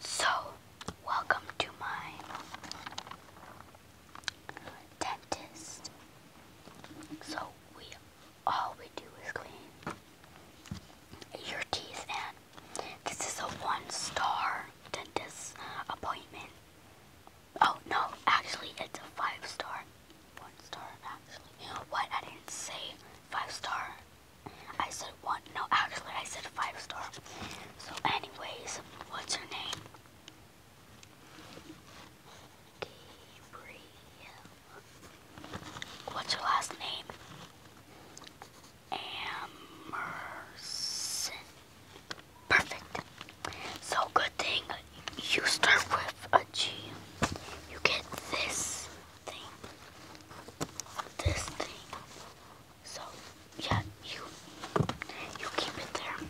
So, welcome to my dentist. So, we all we do is clean your teeth, and this is a one-star dentist appointment. Oh no, actually, it's a five-star. One star, actually. What? I didn't say five-star. I said one. No, actually, I said five star. So, anyways, what's her name? Gabriel. What's her last name? Emerson. Perfect. So, good thing you start with a G. You get this thing, this thing. So yeah, you you keep it there.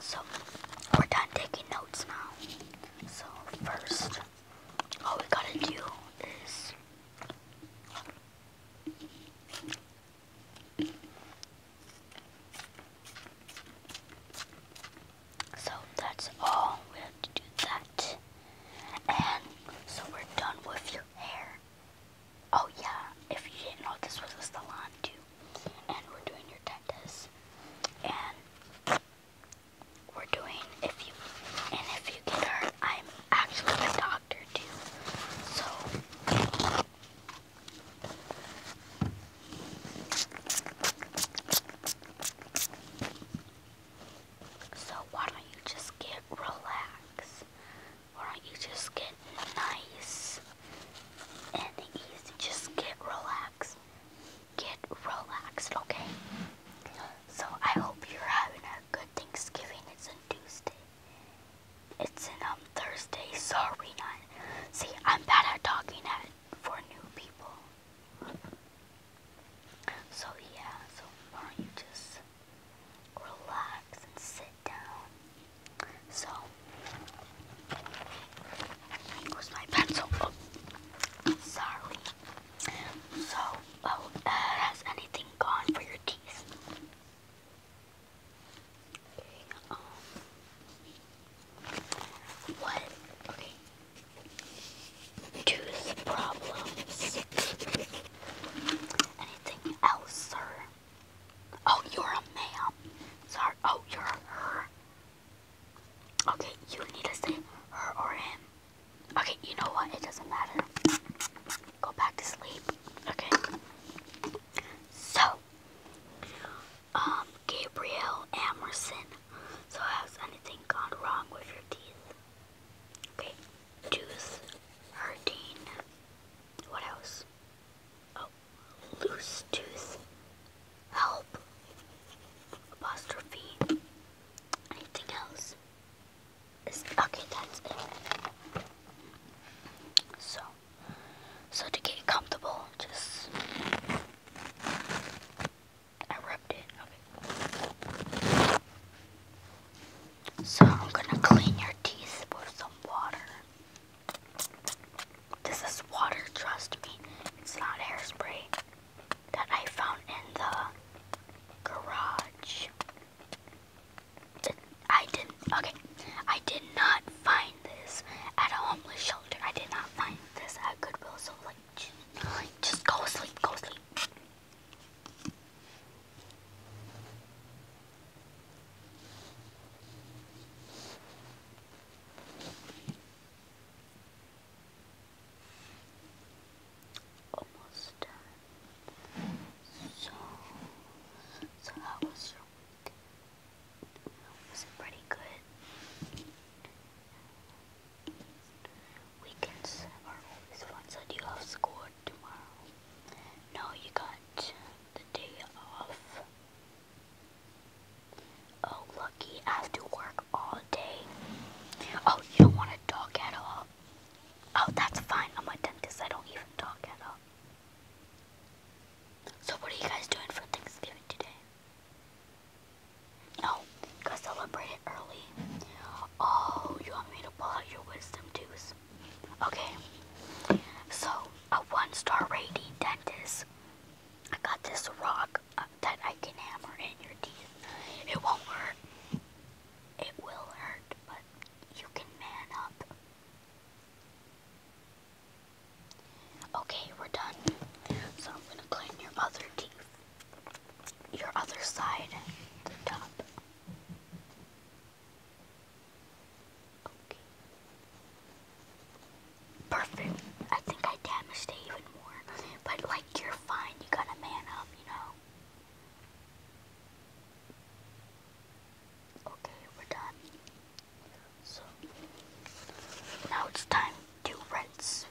So we're done taking notes now. So first, all we gotta do is. So that's all we have to do that. And so we're done with your hair. Oh yeah, if you didn't know this was a salon too. And we're doing your dentist. And we're doing if you and if you get hurt, I'm actually a doctor too. So so why don't you just get relaxed? Why don't you just get nice and easy? Just get relaxed. Get relaxed, okay? So I hope you're having a good Thanksgiving. It's on Tuesday. It's um Thursday. Sorry, not. See, I'm bad at talking at for new people. So yeah, so why don't you just relax and sit down. So here my pencil. Oh, sorry. So, oh, uh, has anything gone for your teeth? Um, what? Okay, tooth problems. Anything else, sir? Oh, you're a ma'am. Sorry. Oh, you're a her. Okay, you need to say her or him. Okay, you know what? It doesn't matter. Go back to sleep. Okay. So, um, Gabriel Emerson so has anything gone wrong with your teeth? Okay, tooth hurting. What else? Oh, loose tooth. Help. Apostrophe. Anything else? okay, that's it. So, so to get comfortable, just I rubbed it. Okay. So I'm gonna clean your teeth with some water. This is water, trust me. It's not hairspray that I found in the garage. I didn't, okay. I did not find this at a homeless shelter. I did not find this at Goodwill. So, like, just go sleep, go asleep. Almost done. So, so how was your week? Was it pretty good? Weekends are always fun. So you have school tomorrow? No, you got the day off. Oh, lucky. have to work all day. Oh, you don't want to talk at all. Oh, that's fine. I'm a dentist. I don't even talk at all. So what are you guys doing for Thanksgiving today? Oh, got celebrated early. Oh, you want me to pull out your wisdom tooth? Okay. So, a one-star rating dentist. I got this rock uh, that I can hammer in your teeth. It won't hurt. It will hurt, but you can man up. Okay, we're done. So I'm gonna clean your other teeth. Your other side, the top. Okay. Perfect. I think I damaged it even more. But like you're fine, you gotta man up, you know. Okay, we're done. So now it's time to rinse.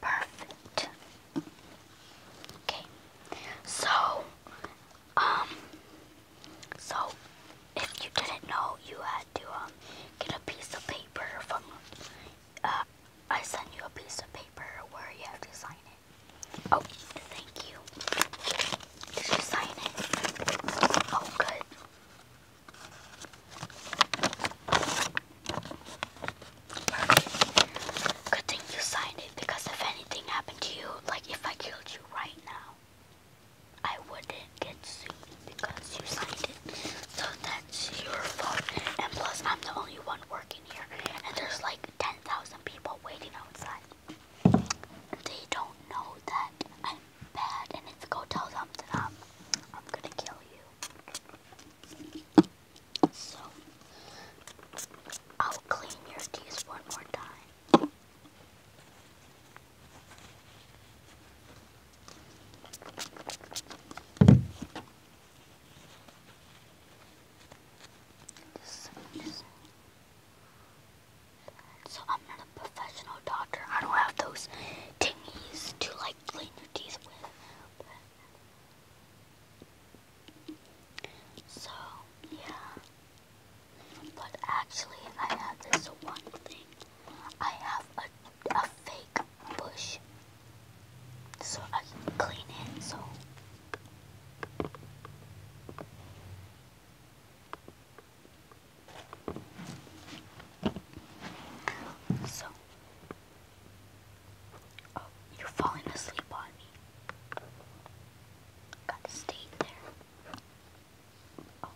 Perfect. Okay. So, um, so if you didn't know, you had to um, get a piece of paper from. Uh, I sent you a piece of paper where you have to sign it. Oh, thank you. Did you sign it? Oh, good. Good thing you signed it because if anything happened to you, like if I killed you right now, I wouldn't get sued because you signed it. So that's your fault. And plus, I'm the only one working here. And there's like 10,000 people waiting outside. They don't know that I'm bad. And if you go tell them that I'm, I'm gonna kill you. So, I'll clean your teeth one more time. This is so I'm not a professional doctor. I don't have those thingies to like clean your teeth with. so yeah. But actually, I have this one thing. I have a, a fake bush. So I can clean it, so... So... Oh, you're falling asleep on me. Gotta stay there. Oh,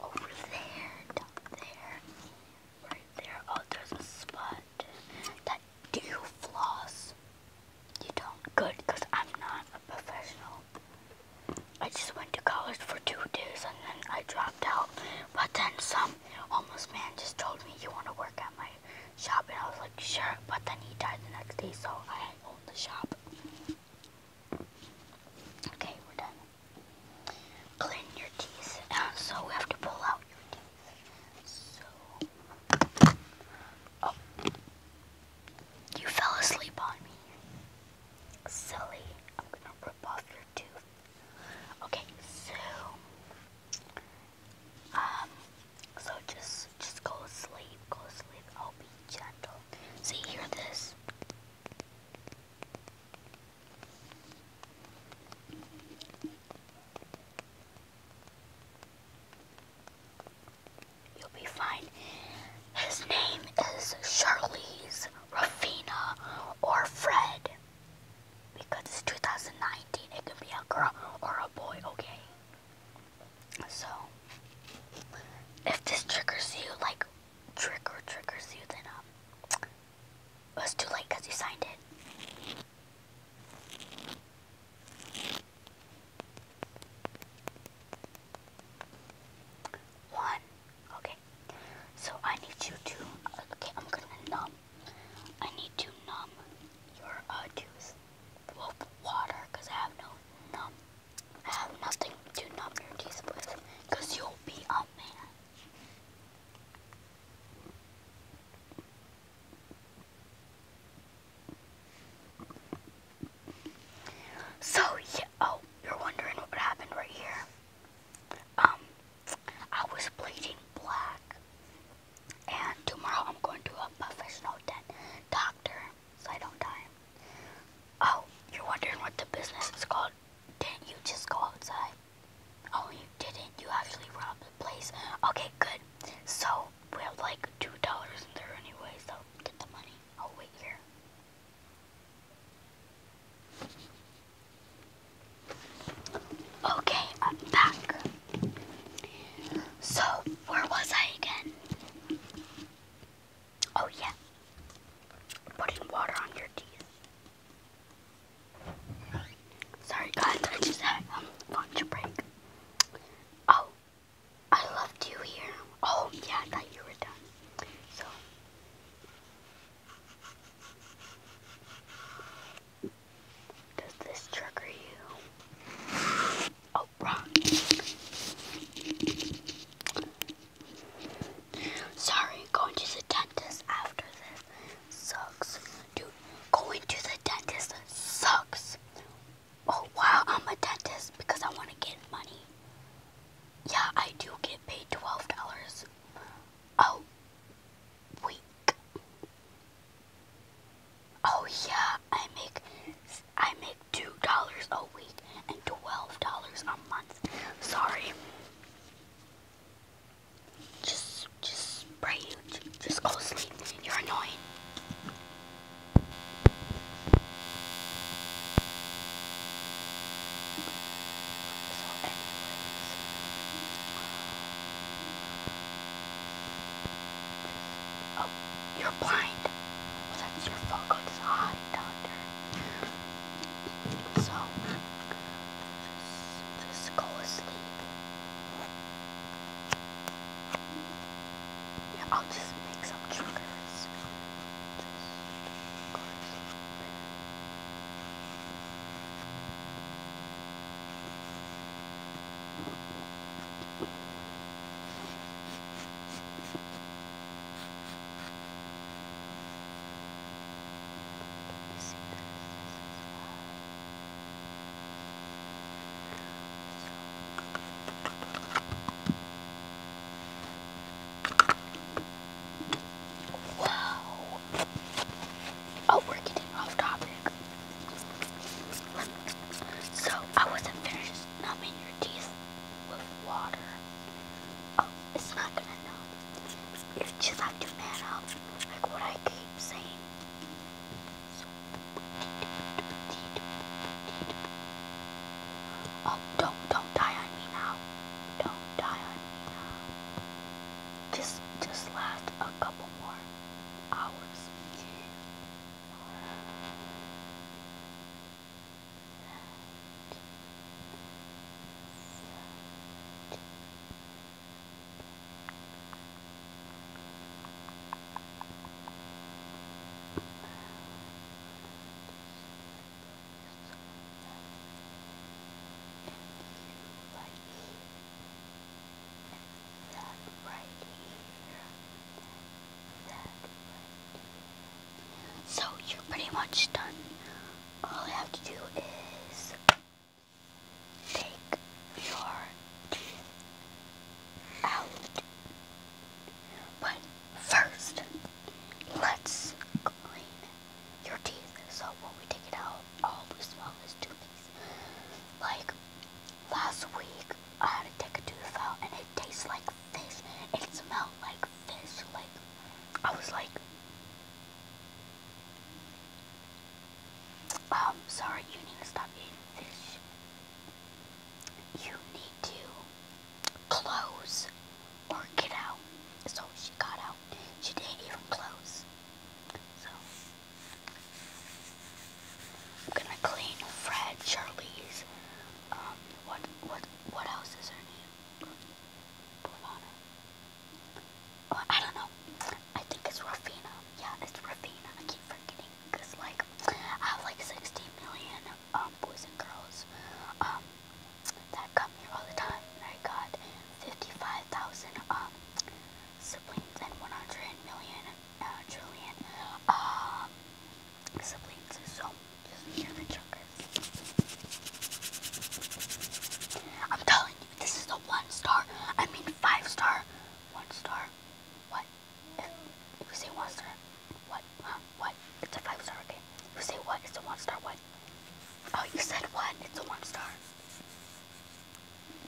Over there, down there, right there. Oh, there's a spot that do you floss. You don't? Good, because I'm not a professional I just went to college for two days and then I dropped out. But then some homeless man just told me, you want to work at my shop? And I was like, sure. But then he died the next day, so I owned the shop. Okay, we're done. Clean your teeth. Uh, so we have to pull out your teeth. So. Oh. You fell asleep on me. Silly. I'm gonna rip off your tooth. Okay, so um so just just go to sleep, go to sleep. I'll be gentle. See you hear this? You'll be fine. His name is Charlize, Rafina, or Fred. Because it's 2019, it could be a girl or a boy, okay? So, if this triggers you, like, trigger triggers you, then, um, it was too late because you signed it. One Okay, so I need you to. Okay, I'm gonna numb. I need to numb your uh, juice with water because I have no numb. I have nothing to numb your teeth with because you'll be a man. So yeah, oh, you're wondering what happened right here. Um, I was bleeding black, and tomorrow I'm going to a professional dentist. doctor so I don't die. Oh, you're wondering what the business is called? Didn't you just go outside? Oh, you didn't. You actually robbed the place. Okay, good. So we have like two dollars in there anyway, so get the money. I'll wait here. Okay, I'm back. So, where was I again? Oh, yeah. Putting water on your teeth. Sorry, guys, I just had lunch break. Oh, I left you here. Oh, yeah, I thought you were done. So. Does this trigger you? Oh, wrong. Sorry, going to the dentist after this sucks. Dude, going to the dentist sucks. Oh wow, I'm a dentist because I want to get money. Yeah, I do get paid twelve dollars a week. Oh yeah, I make I make two dollars a week and twelve dollars a month. Sorry. Just just spray you. Just go sleep. You're annoying. So anyways, oh, you're blind. Well, that's your fault. Go to the eye doctor. So, just, just go asleep. Yeah, I'll just make some triggers. Wow. Oh, we're getting off topic. So, I wasn't finished numbing your teeth with water. Oh, it's not gonna numb. You just have to man like what I keep saying. Oh, don't, don't die on me now. Don't die on me now. Just, just last a couple more hours. Six, so you're pretty much done. All you have to do is Take your teeth out. But first, let's clean your teeth. So when we take it out, all the smell is toothpaste. Like last week, I had to take a tooth out and it tastes like fish. It smelled like fish. Like I was like, um, sorry, you need to stop eating fish. You need to close or get out. So she got out. She didn't even close. So I'm gonna clean Fred, Charlie's. Um, what what what else is her name? I don't know. I think it's Rafina. Yeah, it's Rafina. I keep forgetting because like I have like 60 million um, boys and girls um, that come here all the time. I got 55,000 um, siblings and 100 million uh, trillion um, siblings. So just hear the chuckers. I'm telling you, this is a one star. I mean five star one star. What? If you say one star, what? Huh? What? It's a five star, game. You say what? It's a one star, what? Oh, you said what? It's a one star.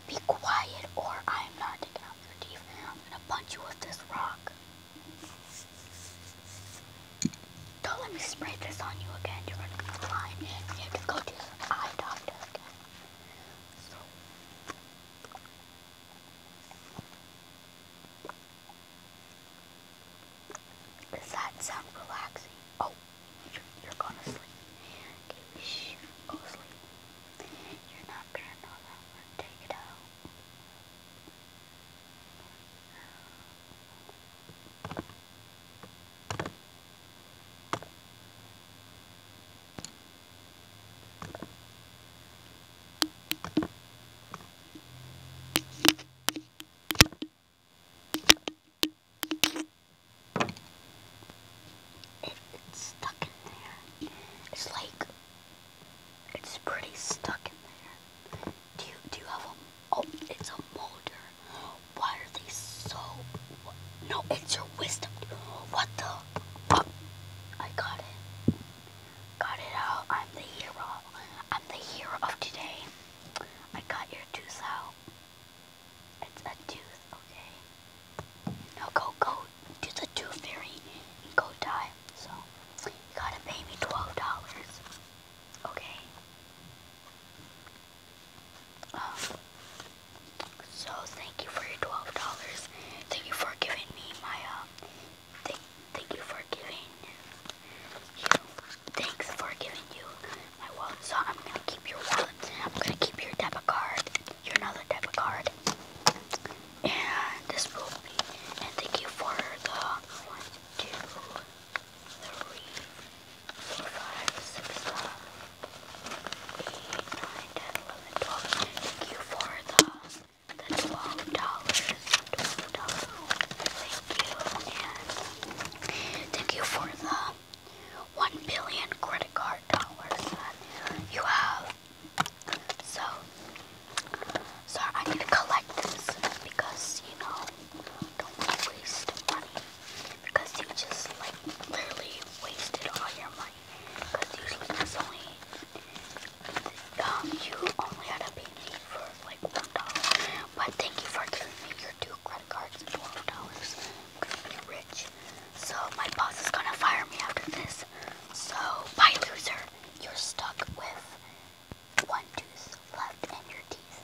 Be quiet or I'm not taking out your teeth. I'm gonna punch you with this rock. Don't let me spray this on you again. You're gonna be blind. You have to go to the eye doctor again. Does that sound relaxing? Oh, you're gonna sleep. shh, go sleep. You're not gonna know that Take it out. It's stuck in there. It's like it's pretty stuck in there. Do do you have a oh it's a molder. Why are they so... What? No, it's your wisdom. What the... Oh, I got it. Got it out. I'm the hero. I'm the hero of today. I got your tooth out. It's a tooth, okay? No, go, go to the tooth fairy and go die. So, you gotta pay me $12. Okay? so thank you for your twelve dollars. Thank you for giving me my uh. thank you for giving Thanks for giving you my wallet. So I'm gonna keep your wallet. I'm gonna keep your debit card. Your another debit card. And this will be. And thank you for the one, two, three, four, five, six, seven, eight, nine, ten, eleven, twelve. Thank you for the the twelve dollars. Twelve dollars. Thank you, and thank you for the one billion credit card dollars that you have. So, so I need to collect this because you know don't waste money. Because you just like literally wasted all your money. Because usually that's only um you only had to pay me for like one dollar. But thank you for giving me your two credit cards, twelve dollars. Because you're rich. So my boss is gonna fire me after this. So bye loser. You're stuck with one tooth left in your teeth.